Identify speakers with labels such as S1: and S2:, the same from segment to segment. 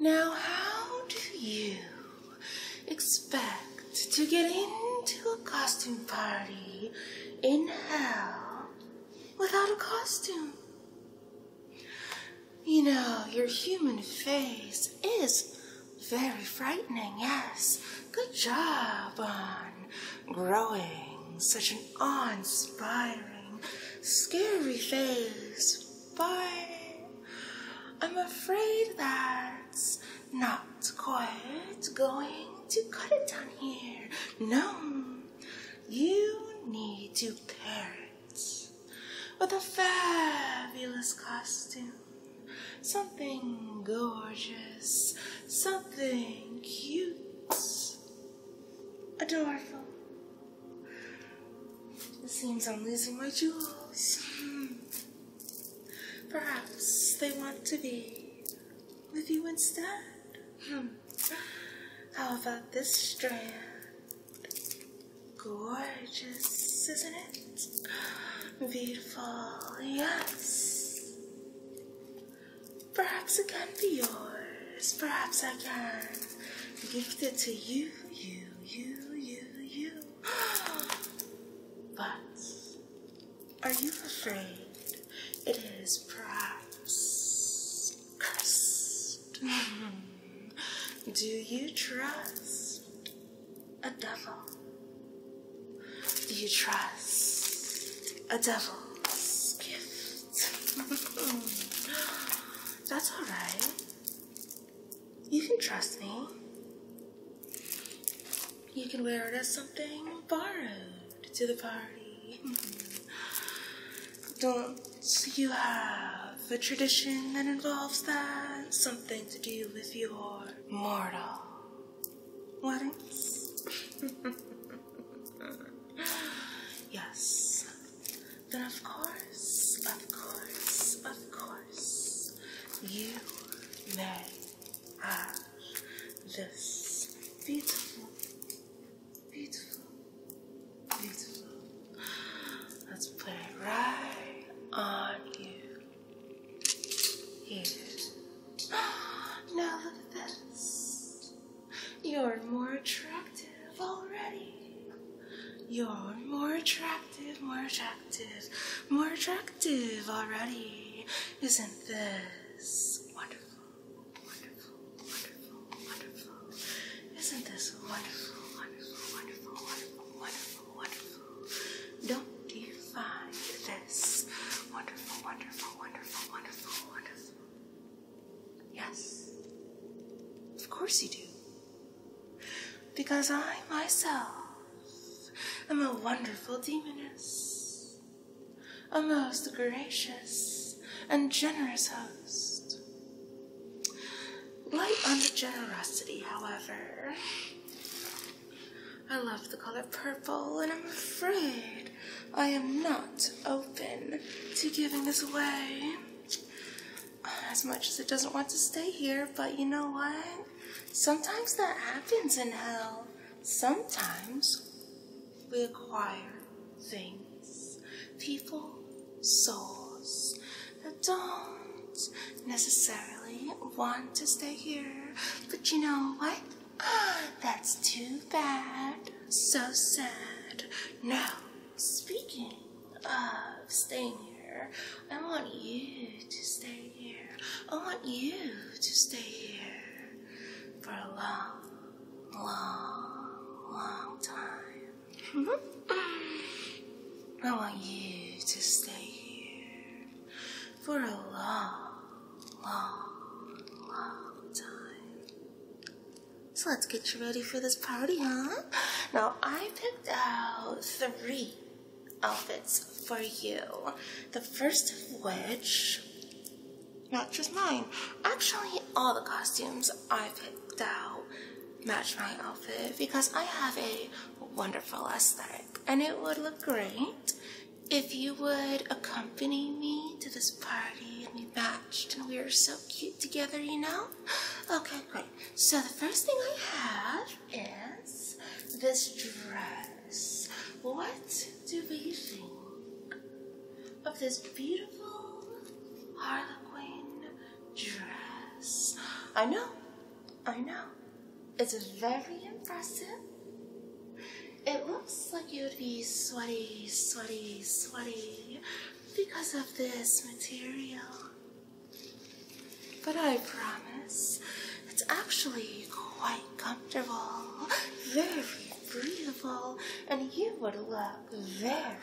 S1: Now, how do you expect to get into a costume party in hell without a costume? You know, your human face is very frightening, yes. Good job on growing such an awe inspiring, scary face but I'm afraid that's not quite going to cut it down here. No, you need to pair it with a fabulous costume. Something gorgeous, something cute, adorable. It seems I'm losing my jewels. Perhaps they want to be with you instead. Hmm. How about this strand? Gorgeous, isn't it? Beautiful, yes. Perhaps it can be yours. Perhaps I can gift it to you, you you, you, you, but are you afraid it is perhaps Do you trust a devil? Do you trust a devil's gift? That's all right. You can trust me. You can wear it as something borrowed to the party. Hmm. Don't you have a tradition that involves that? Something to do with your mortal weddings? yes then of course, of course, of course, you may have this beautiful, beautiful, beautiful. Let's put it right on you. Here. Now look at this. You're more attractive already. You're more attractive, more attractive, more attractive already. Isn't this wonderful, wonderful, wonderful, wonderful? Isn't this wonderful, wonderful, wonderful, wonderful, wonderful, wonderful? Don't you find this wonderful, wonderful, wonderful, wonderful, wonderful? Yes. Of course you do. Because I myself am a wonderful demoness, a most gracious and generous host. Light on the generosity, however. I love the color purple, and I'm afraid I am not open to giving this away as much as it doesn't want to stay here, but you know what? Sometimes that happens in hell. Sometimes we acquire things, people, souls that don't necessarily want to stay here. But you know what? That's too bad. So sad. No, speaking of staying here. I want you to stay here. I want you to stay here for a long, long, long time. I want you to stay here for a long, long, long time. So let's get you ready for this party, huh? Now, I I picked out three outfits for you. The first of which, not just mine, actually all the costumes I have picked out match my outfit because I have a wonderful aesthetic and it would look great if you would accompany me to this party and we matched and we are so cute together, you know? Okay, great so the first thing I have is this dress. What do we think of this beautiful Harlequin dress? I know, I know. It's very impressive. It looks like you would be sweaty, sweaty, sweaty because of this material. But I promise, it's actually quite comfortable, very breathable, and you would look very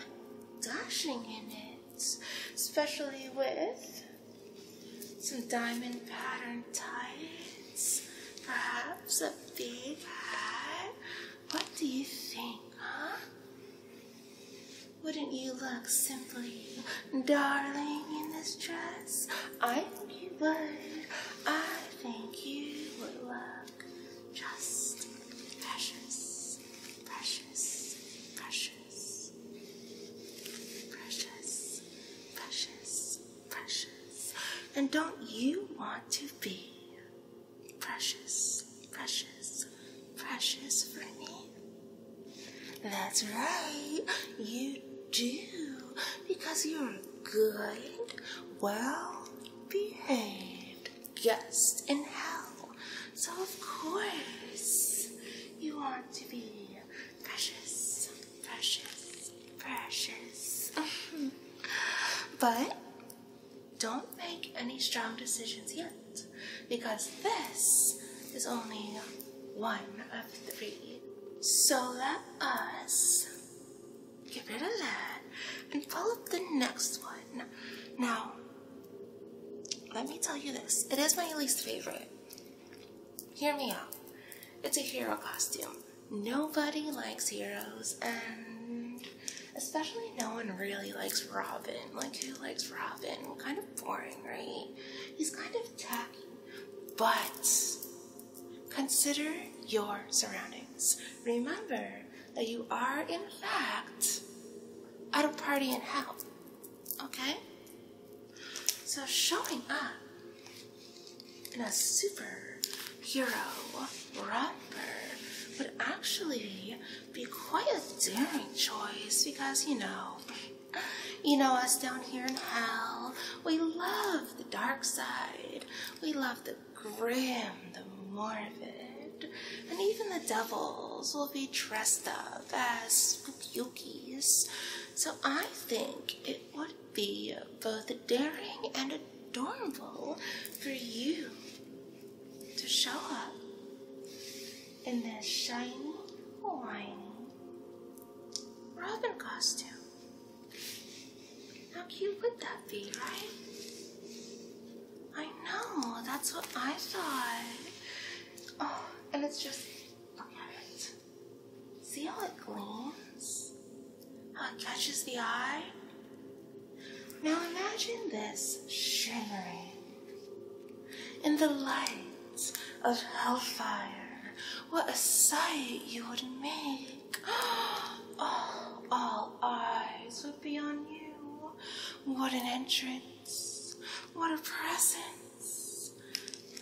S1: dashing in it, especially with some diamond pattern tights, perhaps a big hat. What do you think, huh? Wouldn't you look simply darling in this dress? I think you would. I think you would look just precious, precious, precious, precious, precious, precious. And don't you want to be precious, precious, precious for me. That's right, you do, because you're good, well behaved guest in hell. So, of course, you want to be precious, precious, precious. but don't make any strong decisions yet because this is only one of three. So let us get rid of that and pull up the next one. Now, let me tell you this. It is my least favorite. Hear me out. It's a hero costume. Nobody likes heroes and especially no one really likes Robin. Like who likes Robin? Kind of boring, right? He's kind of tacky, but consider your surroundings. Remember that you are, in fact, at a party in hell. Okay? So showing up in a superhero romper would actually be quite a daring choice because, you know, you know, us down here in hell, we love the dark side. We love the grim, the morbid. And even the devils will be dressed up as spookies. So I think it would be both daring and adorable for you to show up in this shiny, whiny brother costume. How cute would that be, right? I know, that's what I thought. Oh, and it's just, look at it. See how it gleams? How it catches the eye? Now imagine this shimmering in the lights of hellfire. What a sight you would make! Oh, all eyes would be on you. What an entrance! What a presence!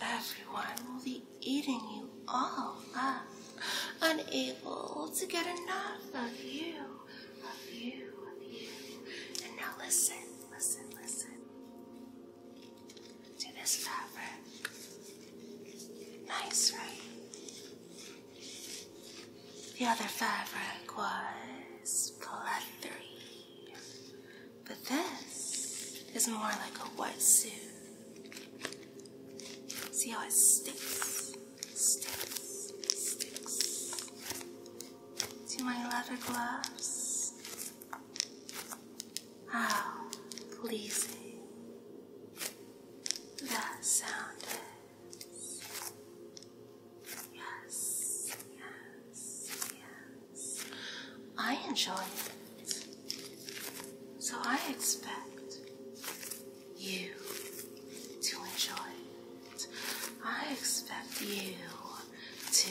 S1: Everyone will be eating you all up, unable to get enough of you, of you, of you. And now listen listen, listen to this fabric. Nice, right? The other fabric was pleathery, but this is more like a suit. See how it sticks, sticks, sticks. See my leather gloves? How oh, pleasing that sound Yes, yes, yes. I enjoy it. So I expect you to enjoy it. I expect you to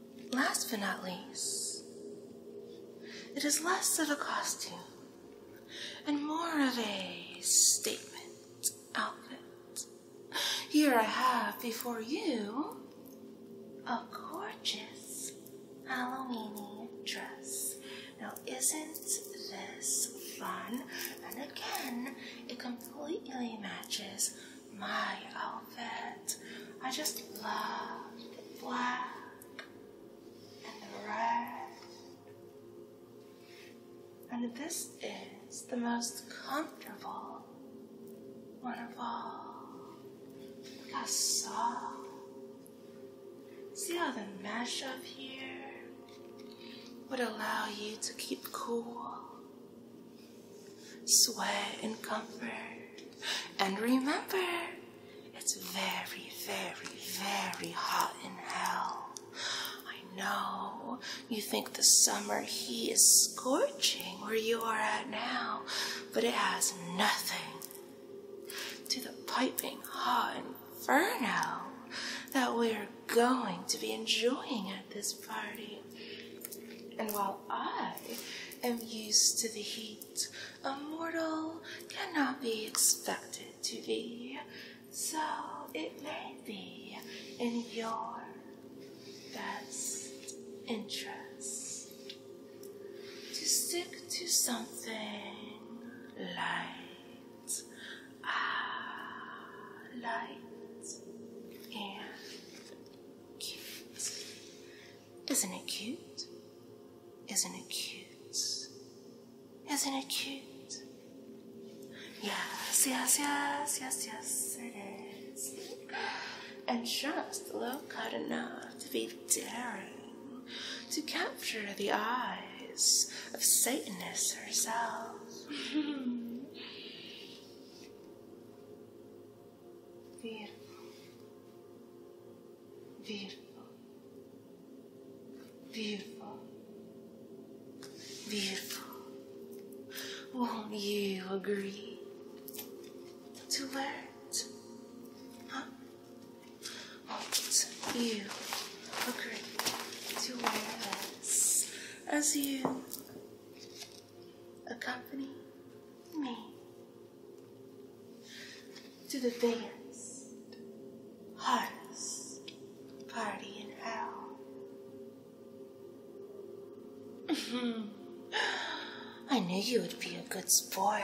S1: Last but not least, it is less of a costume and more of a statement outfit. Here I have before you a gorgeous Halloweeny dress. Now isn't this fun? And again, it completely matches my outfit. I just love the black and the red. And this is the most comfortable one of all. Look how soft. See how the mesh up here would allow you to keep cool sweat and comfort. And remember, it's very, very, very hot in hell. I know you think the summer heat is scorching where you are at now, but it has nothing to the piping hot inferno that we're going to be enjoying at this party. And while I am used to the heat, a mortal cannot be expected to be. So it may be in your best interest to stick to something light, ah, light and cute. Isn't it cute? Isn't it cute? Isn't it cute? Yes, yes, yes, yes, yes, it is. And just look hard enough to be daring to capture the eyes of Satanist herself. Beautiful. Beautiful. Beautiful. Beautiful. Won't you agree to it? Huh? Won't oh, you agree to wear this as you accompany me to the biggest, hardest party in hell. I knew you would be a good sport.